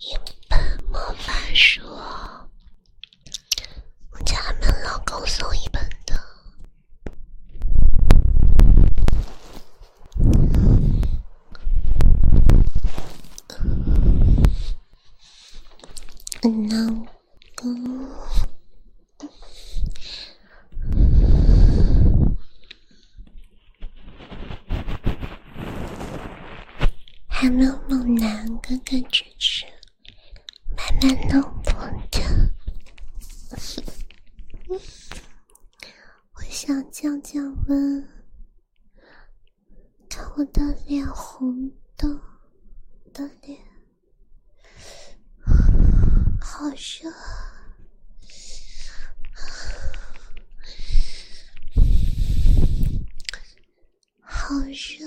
一本魔法书。我家们老公送一本的，嗯，老公，还没有猛男哥哥支持。慢慢弄破的，我想降降温，看我的脸红的的脸，好热。好热。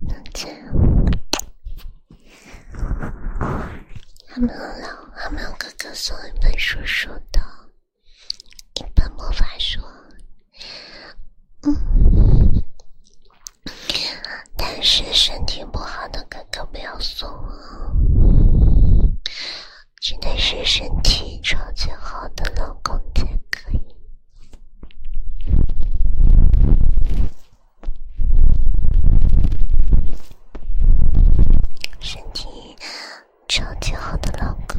那这样，他们老，他们哥哥送一本叔叔的，一本魔法书。嗯，但是身体不好的哥哥不要送。真的是身体超级好的老公才可以，身体超级好的老公。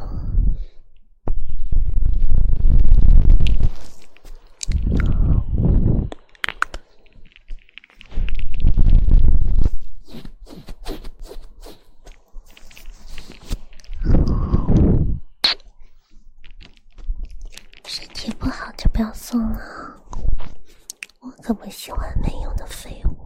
身体不好就不要送了，我可不喜欢没用的废物。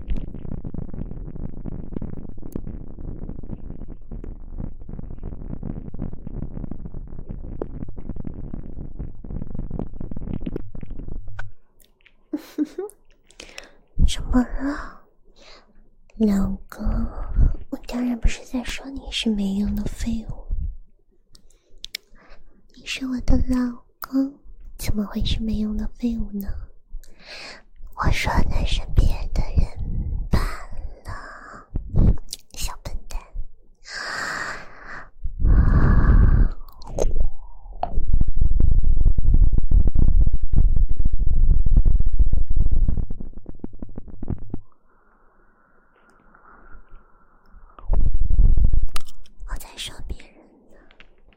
呵呵，怎么了，老公？我当然不是在说你是没用的废物，你是我的老。嗯，怎么会是没用的废物呢？我说的是别的人罢了，小笨蛋。我在说别人呢。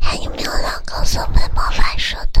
还有没有老咳嗽被魔法射的？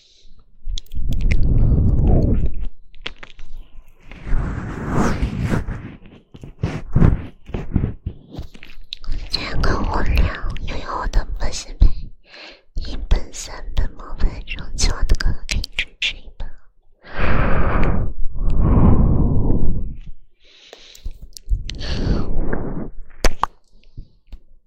今天可无聊，又有我的魔性妹，一本、三本、魔法咒，今晚的歌给你唱睡吧。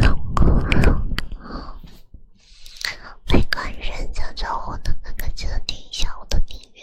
好，好，好！没关注小彩虹的哥哥，记得点一下我的订阅。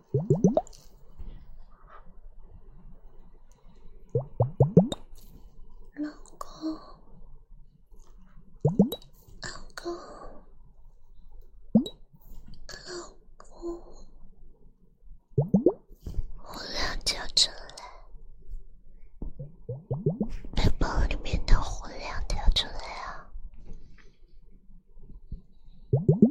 老公，老公，老公，火亮跳出来，背里面的火亮跳出来啊！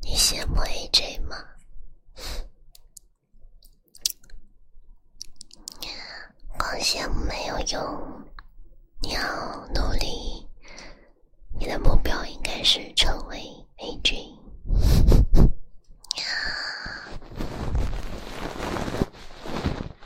你羡慕 AJ 吗？光羡慕没有用，你要努力。你的目标应该是成为 AJ。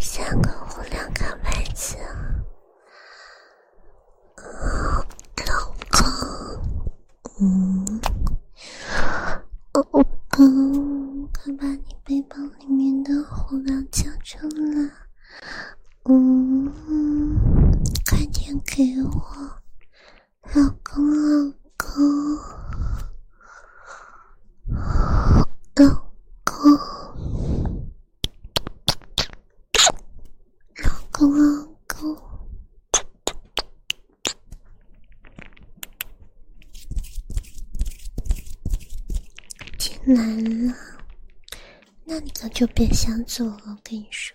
三个红两颗白子，老公，嗯，老公，快把你背包里面的红两交出来，嗯，快点给我，老公，老公。老公，老公，老公，天蓝了，那你就别想做了，我跟你说。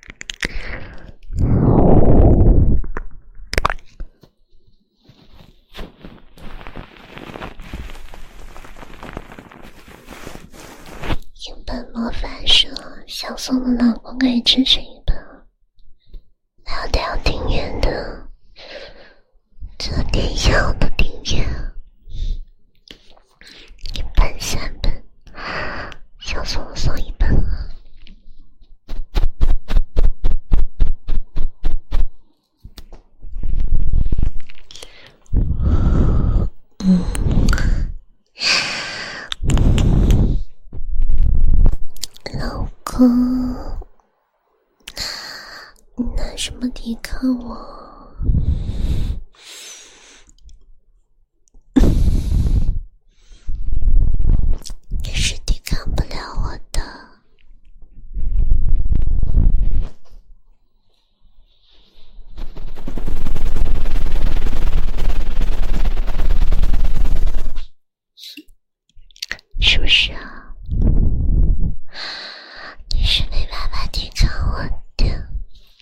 一本魔法书，想送的老公可以支持一本。不要掉电源的，这点小的掉。一本三本，小送送一本啊！老公，你拿什么抵抗我？你是抵抗不了我的，是不是啊？你是没办法抵抗我的。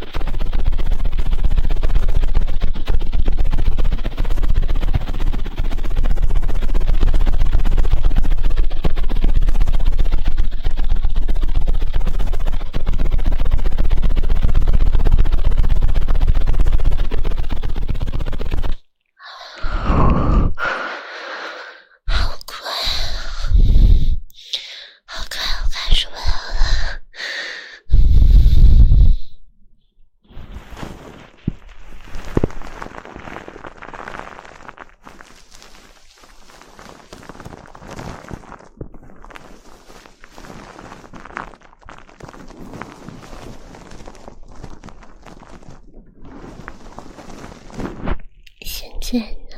好快好快好快，受不了了！现在呢？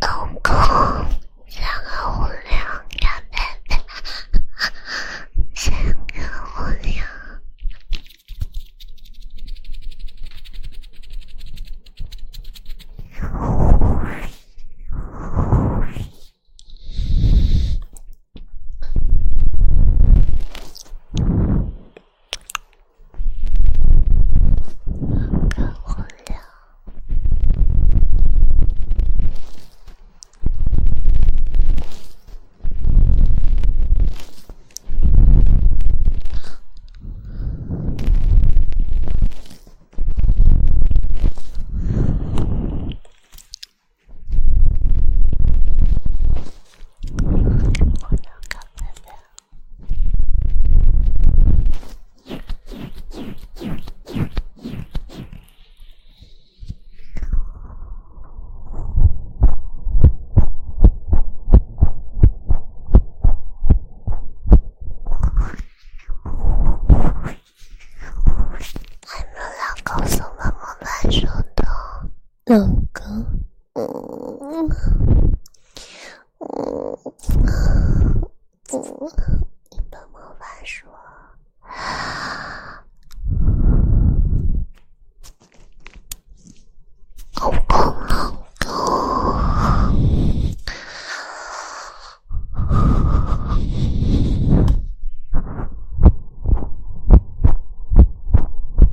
哥哥，三个无聊，干巴巴，三个无聊。看不了。还能搞什么？还能搞什的。老公，嗯嗯嗯嗯，你帮我翻书，老公，老公。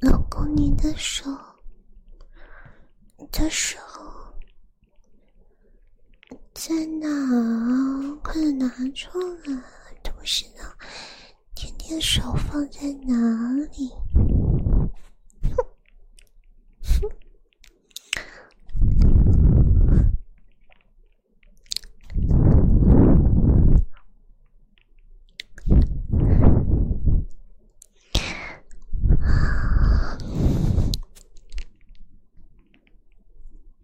老公，你的手，你的在哪？快拿出来！同时呢，天天手放在哪里？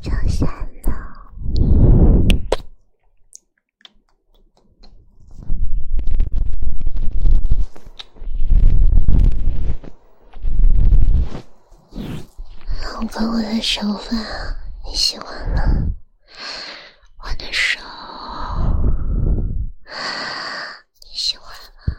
就算了，老公，我的手法你喜欢吗？我的手。你喜欢吗？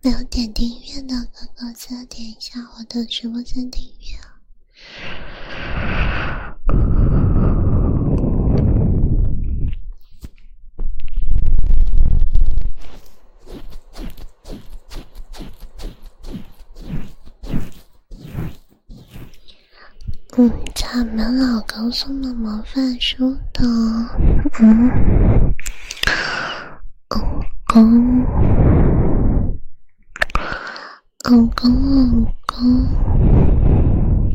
没有点订阅的哥哥，记得点一下我的直播间订阅啊！我家老公送的模范书的，狗公，狗公，老公。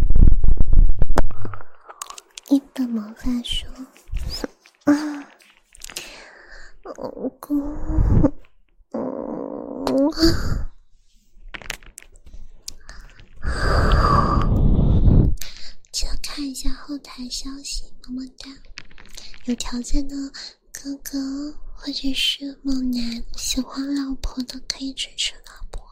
一本魔法书。啊，老公，嗯，想看一下后台消息，么么哒。有条件的哥哥或者是猛男喜欢老婆的，可以支持老婆。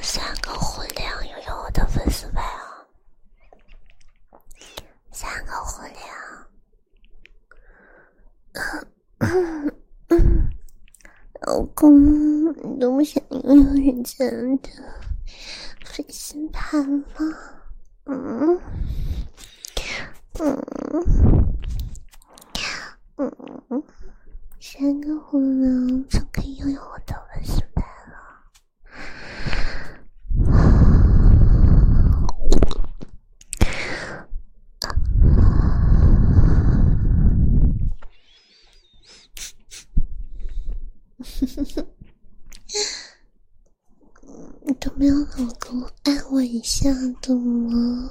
三个混又有我的粉丝牌啊！三个火鸟，老公，你都不想拥有人间的粉丝盘吗？嗯嗯嗯，三个火鸟就可以拥有我的粉丝盘了。你都没有老公爱我一下的吗？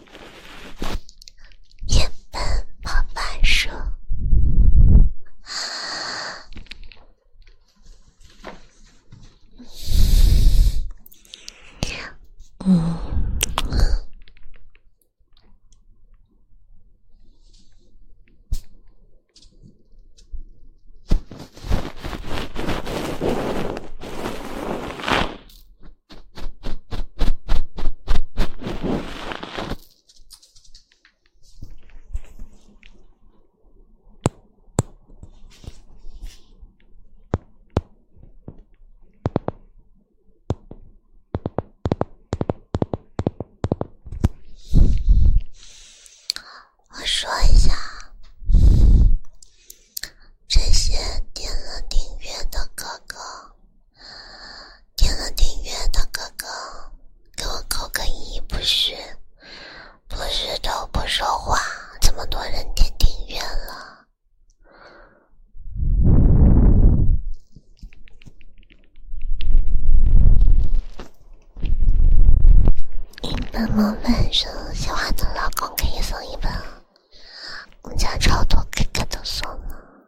原本爸爸说，嗯。我说一下，这些点了订阅的哥哥。点了订阅的哥哥，给我扣个一，不是，不是都不说话，这么多人点订阅了。一本魔法书，喜欢的老公可以送一本，我家超多哥哥都送了。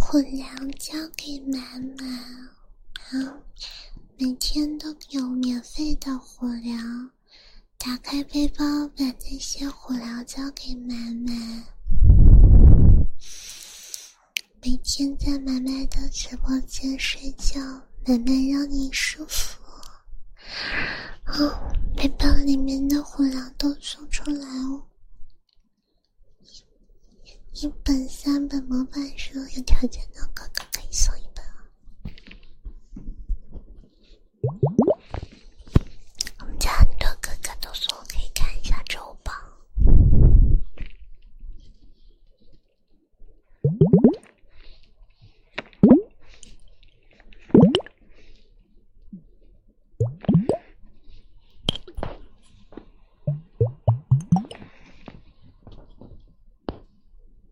混粮交给妈妈。好，每天都有免费的火疗。打开背包，把那些火疗交给妈妈。每天在妈妈的直播间睡觉，妈妈让你舒服。哦，背包里面的火疗都送出来哦。一本、三本模板书，有条件的哥哥可以送一本我们家很多哥哥都说我可以看一下周榜。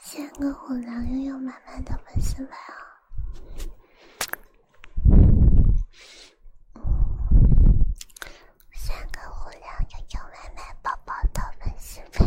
三个虎狼拥有满满的粉丝牌三个火狼拥有满满宝宝的粉丝牌。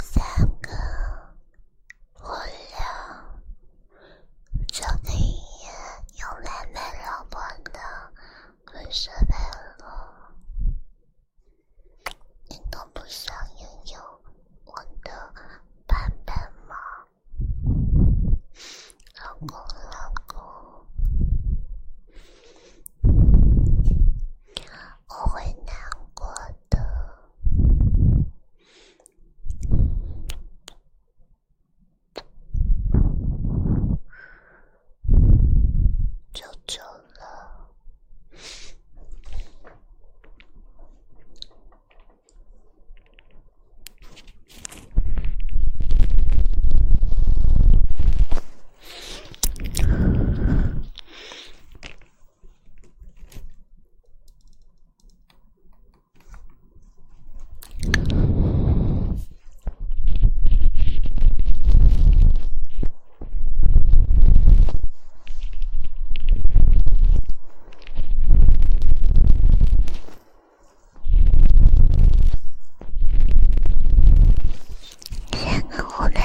三个，我俩这个夜又来没老婆了，还是没落？你都不想拥有我的版本吗，老公，老公？我会难过的，就走了。先给我俩。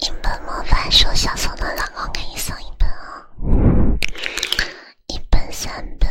一本模板说想送的老公给你送一本啊，一本三本。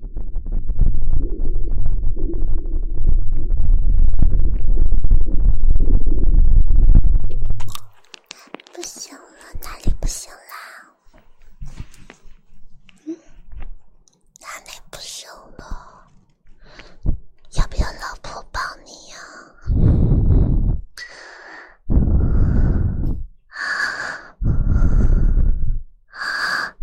不行了，哪里不行啦？嗯，哪里不行了？要不要老婆帮你呀？啊啊！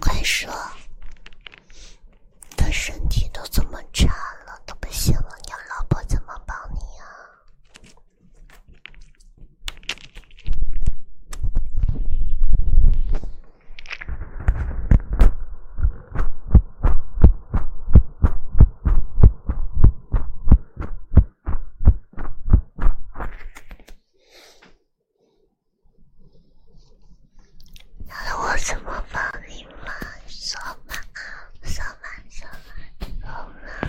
快说！他身体都这么差了，都不行了，你老婆怎么帮你啊？那我怎么办？你们说吧，说吧，说吧，好吗？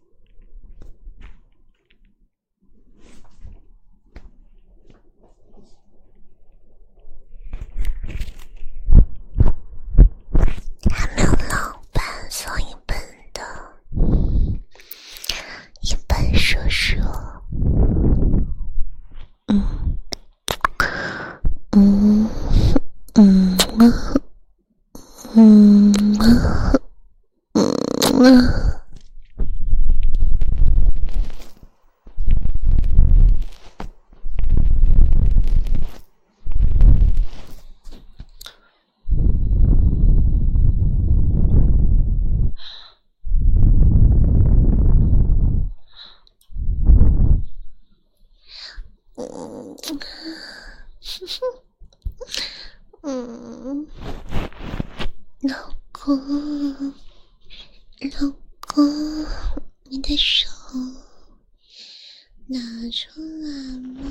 他们两本，三本的，一本说说，嗯，嗯，嗯，嗯，嗯。嗯，嗯，呵呵。老公，老公，你的手拿出来吗？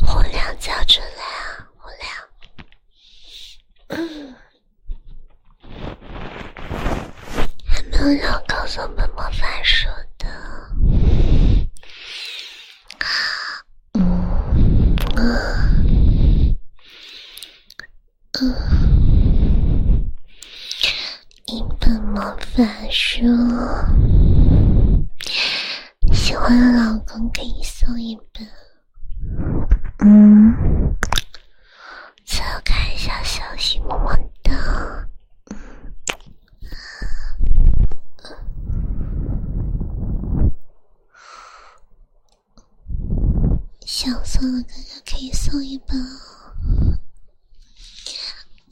我亮叫出来啊！我亮，还没有要告诉我们魔法师的。一本魔法书，喜欢的老公可以送一本。嗯，查看一下消息，么么哒。想送的哥哥可以送一本。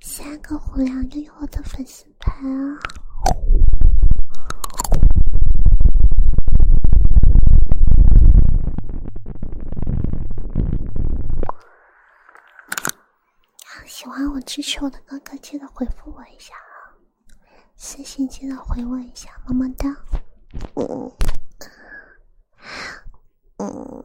三个虎娘又有我的粉丝牌啊！喜欢我、支持我的哥哥，记得回复我一下啊！私信记得回我一下，么么哒！嗯嗯。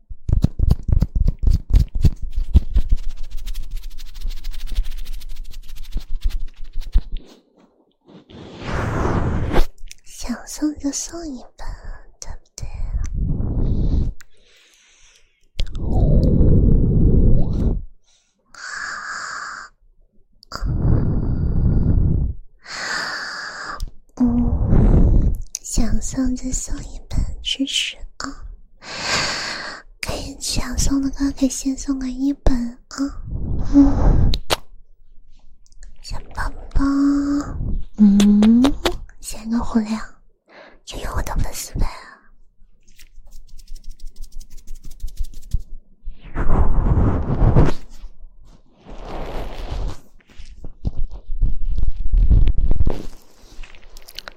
想送就送一本，对不对？嗯，想送就送一本知识啊。可以想送的歌，可以先送个一本啊。嗯，小宝宝，嗯，先个火亮，就有我的粉丝呗。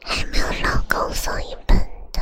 还没有老公送一本的。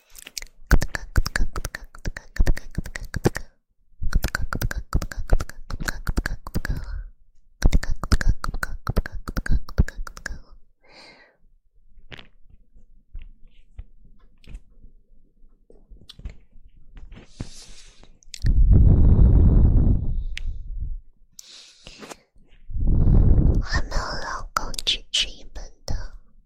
没有老公去吃一本的。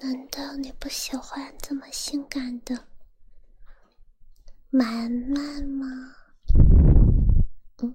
难道你不喜欢这么性感的满满吗？嗯。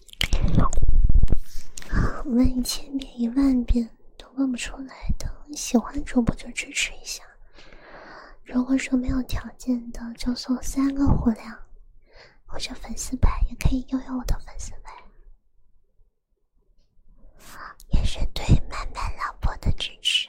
问一千遍一万遍都问不出来的，喜欢主播就支持一下。如果说没有条件的，就送三个火粮或者粉丝牌，也可以拥有我的粉丝牌，也是对曼曼老婆的支持。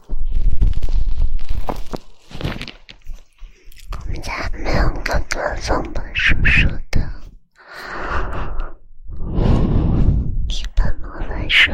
我们家没有哥哥，送给叔叔的。对爸妈来说。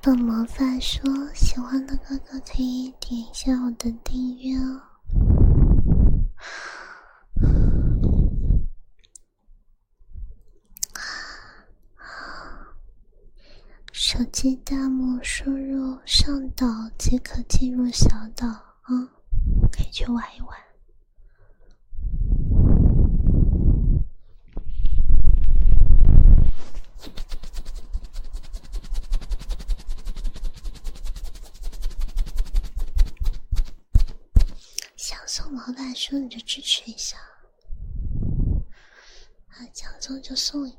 本魔法说？喜欢的哥哥可以点一下我的订阅哦。手机大幕输入上岛即可进入小岛啊，可以去玩一玩。想送毛大叔，你就支持一下，啊，想送就送一个。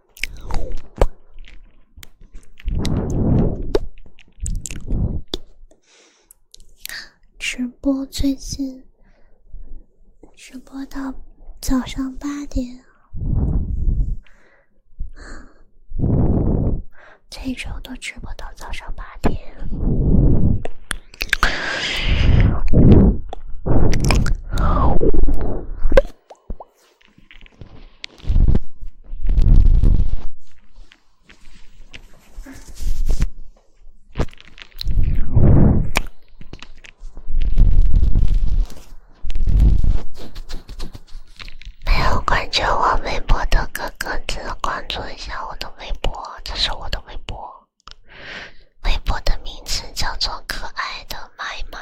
直播最近，直播到早上八点这周都直播到早上八点。没有关注我微博的哥哥，记得关注一下我的微博。这是我的微博，微博的名字叫做可爱的麦麦。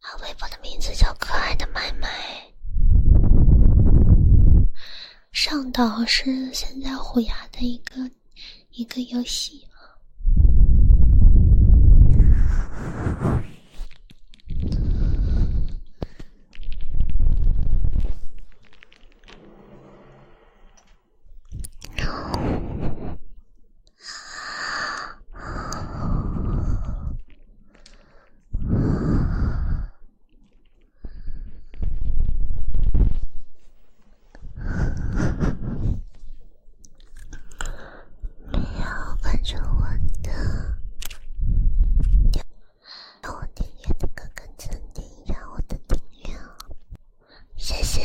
他微博的名字叫可爱的妹妹，上岛是现在虎牙的一个一个游戏。没有，跟着我听。要我订阅的歌，赶紧订阅！我的订阅啊，谢谢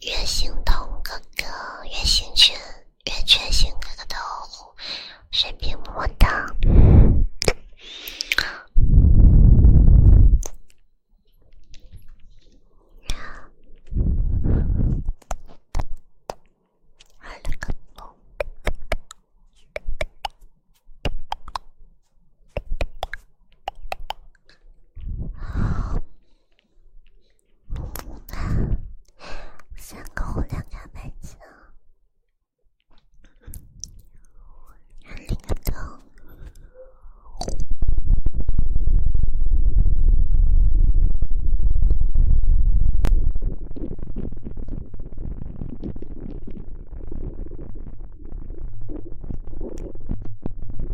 岳兴彤哥哥、岳兴全。圆圈形哥哥的哦呼，随便摸的。好了，哥哥。三个红灯加白线，哪里都。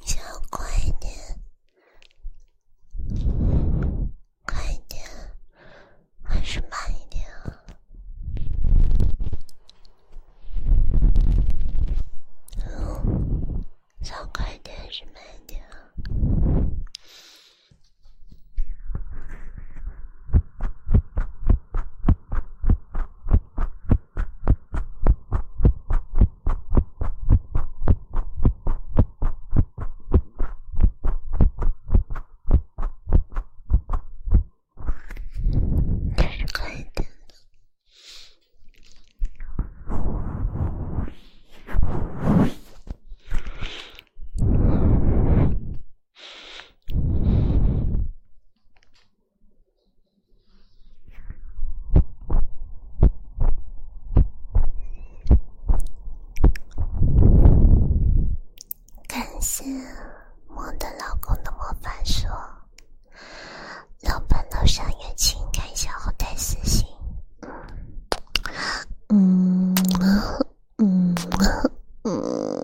你想要快一点，快一点，还是慢一点啊？快点，是慢点啊？是快点感谢我的老公的魔法书。老板楼上有请，看一下后台私信。嗯，嗯，嗯，嗯，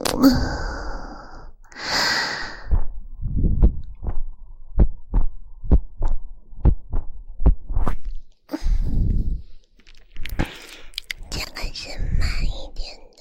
这个是慢一点的。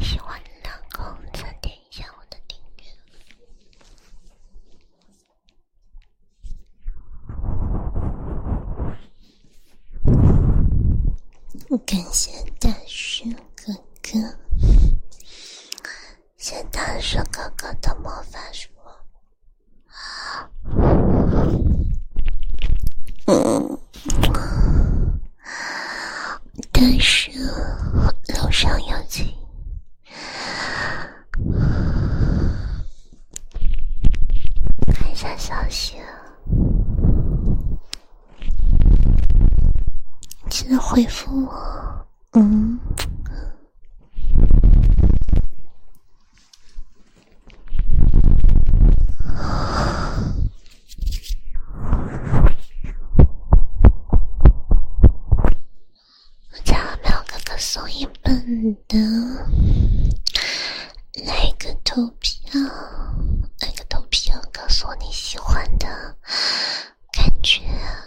喜欢的老公，点一下我的订阅。感谢大叔哥哥，谢大叔哥哥的魔法书。嗯。但是楼上有请，看一下消息，记得回复我。嗯。我家淼哥哥送一本的，来个投票，来个投票，告诉我你喜欢的感觉。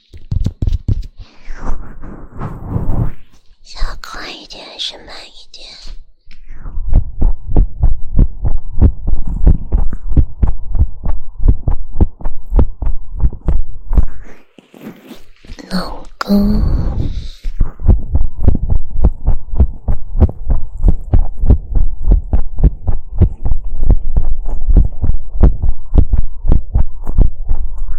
要快一点还是慢一点？老公。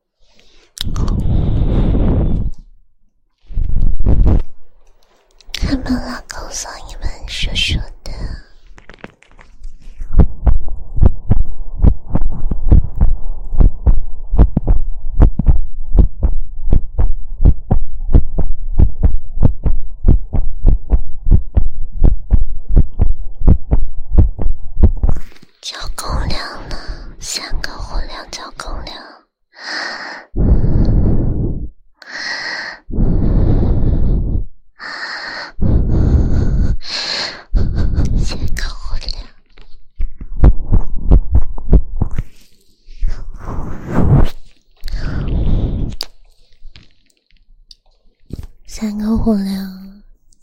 开门了，告诉你们，说说的。交公粮了，三个火粮交更粮。三个火凉，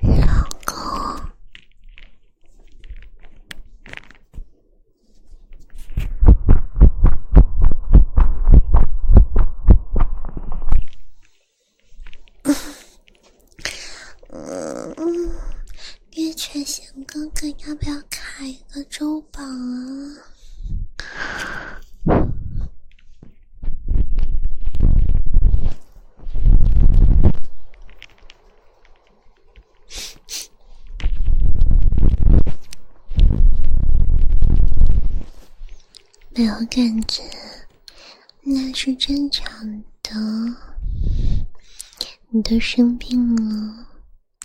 老公，嗯月泉弦哥哥，要不要开一个周？啊！没有感觉，那是正常的。你都生病了，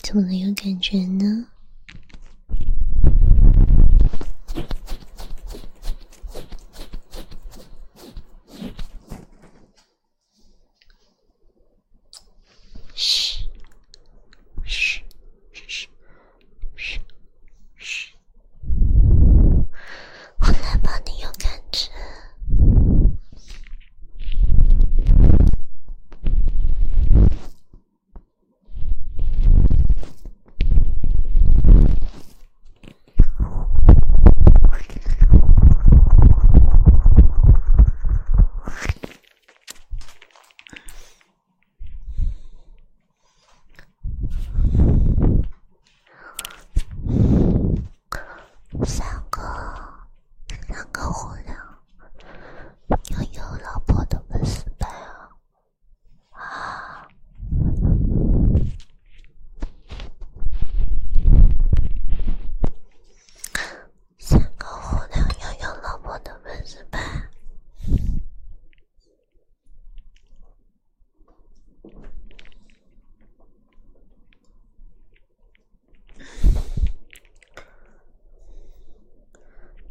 怎么能有感觉呢？嘘，嘘，嘘，嘘，嘘，嘘、我来帮你有感觉。三个，三个狐狸，又有老婆的粉丝拜啊！啊，三个红娘要有老婆的本事吧？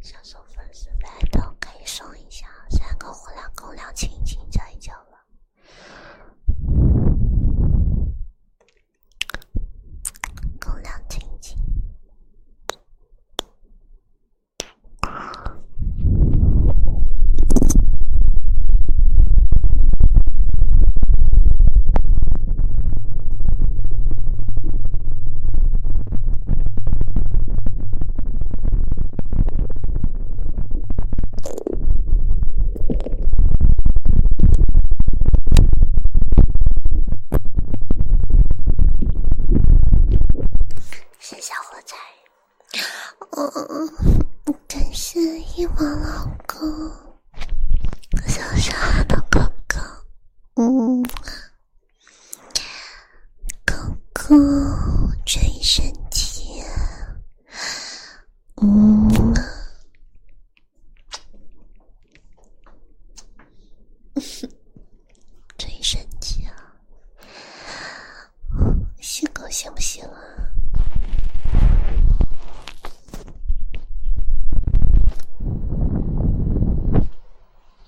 想送粉丝来的可以送一下，三个火两狗粮，亲亲一交了，狗粮亲亲。谢小火柴，我感谢一王老公，感谢我深爱的哥哥，嗯。狗狗最神奇，嗯，最神奇啊，小狗行不行啊？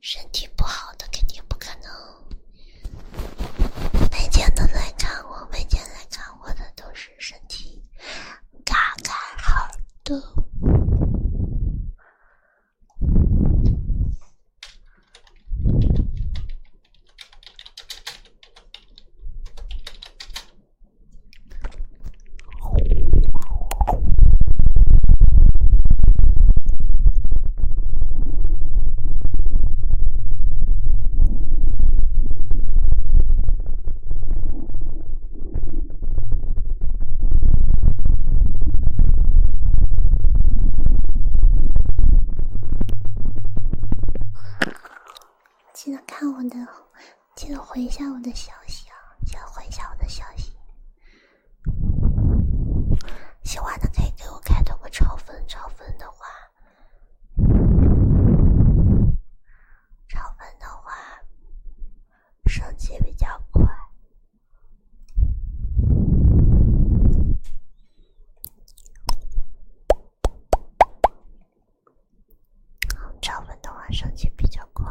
身体不好的肯定不可能，每天都来看我，每天来看我的都是身体嘎嘎好的。记得看我的，记得回一下我的消息啊！记得回一下我的消息。喜欢的可以给我开通个超粉，超粉的话，超粉的话升级比较快。超粉的话升级比较快。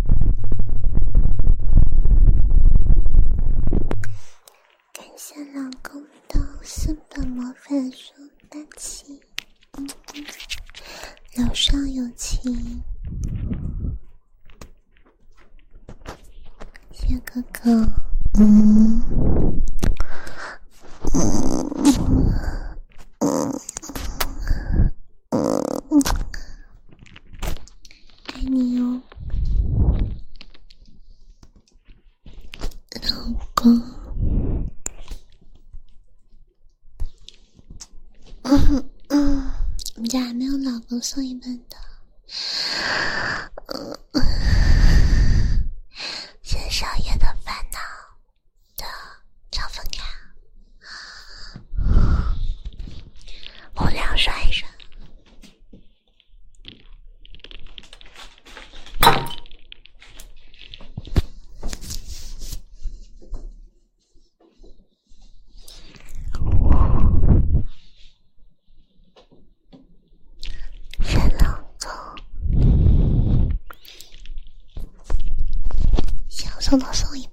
感谢老公的四本魔法书单期，老少有情，谢哥哥。爱你哟，老公。嗯我们家还没有老公送一本的。《谢谢少爷的烦恼》的超粉卡，我俩刷一刷。我，谁呢？走，想送的送一份。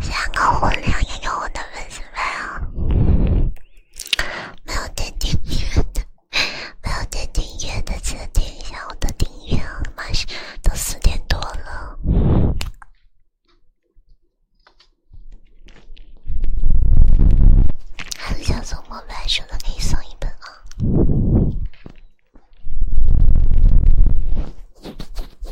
三个红娘也有我的粉丝啊，没有点订阅的，没有点订阅的，记得点一下我的订阅啊！马上都四点多了，还想送莫白书的可以送一本啊。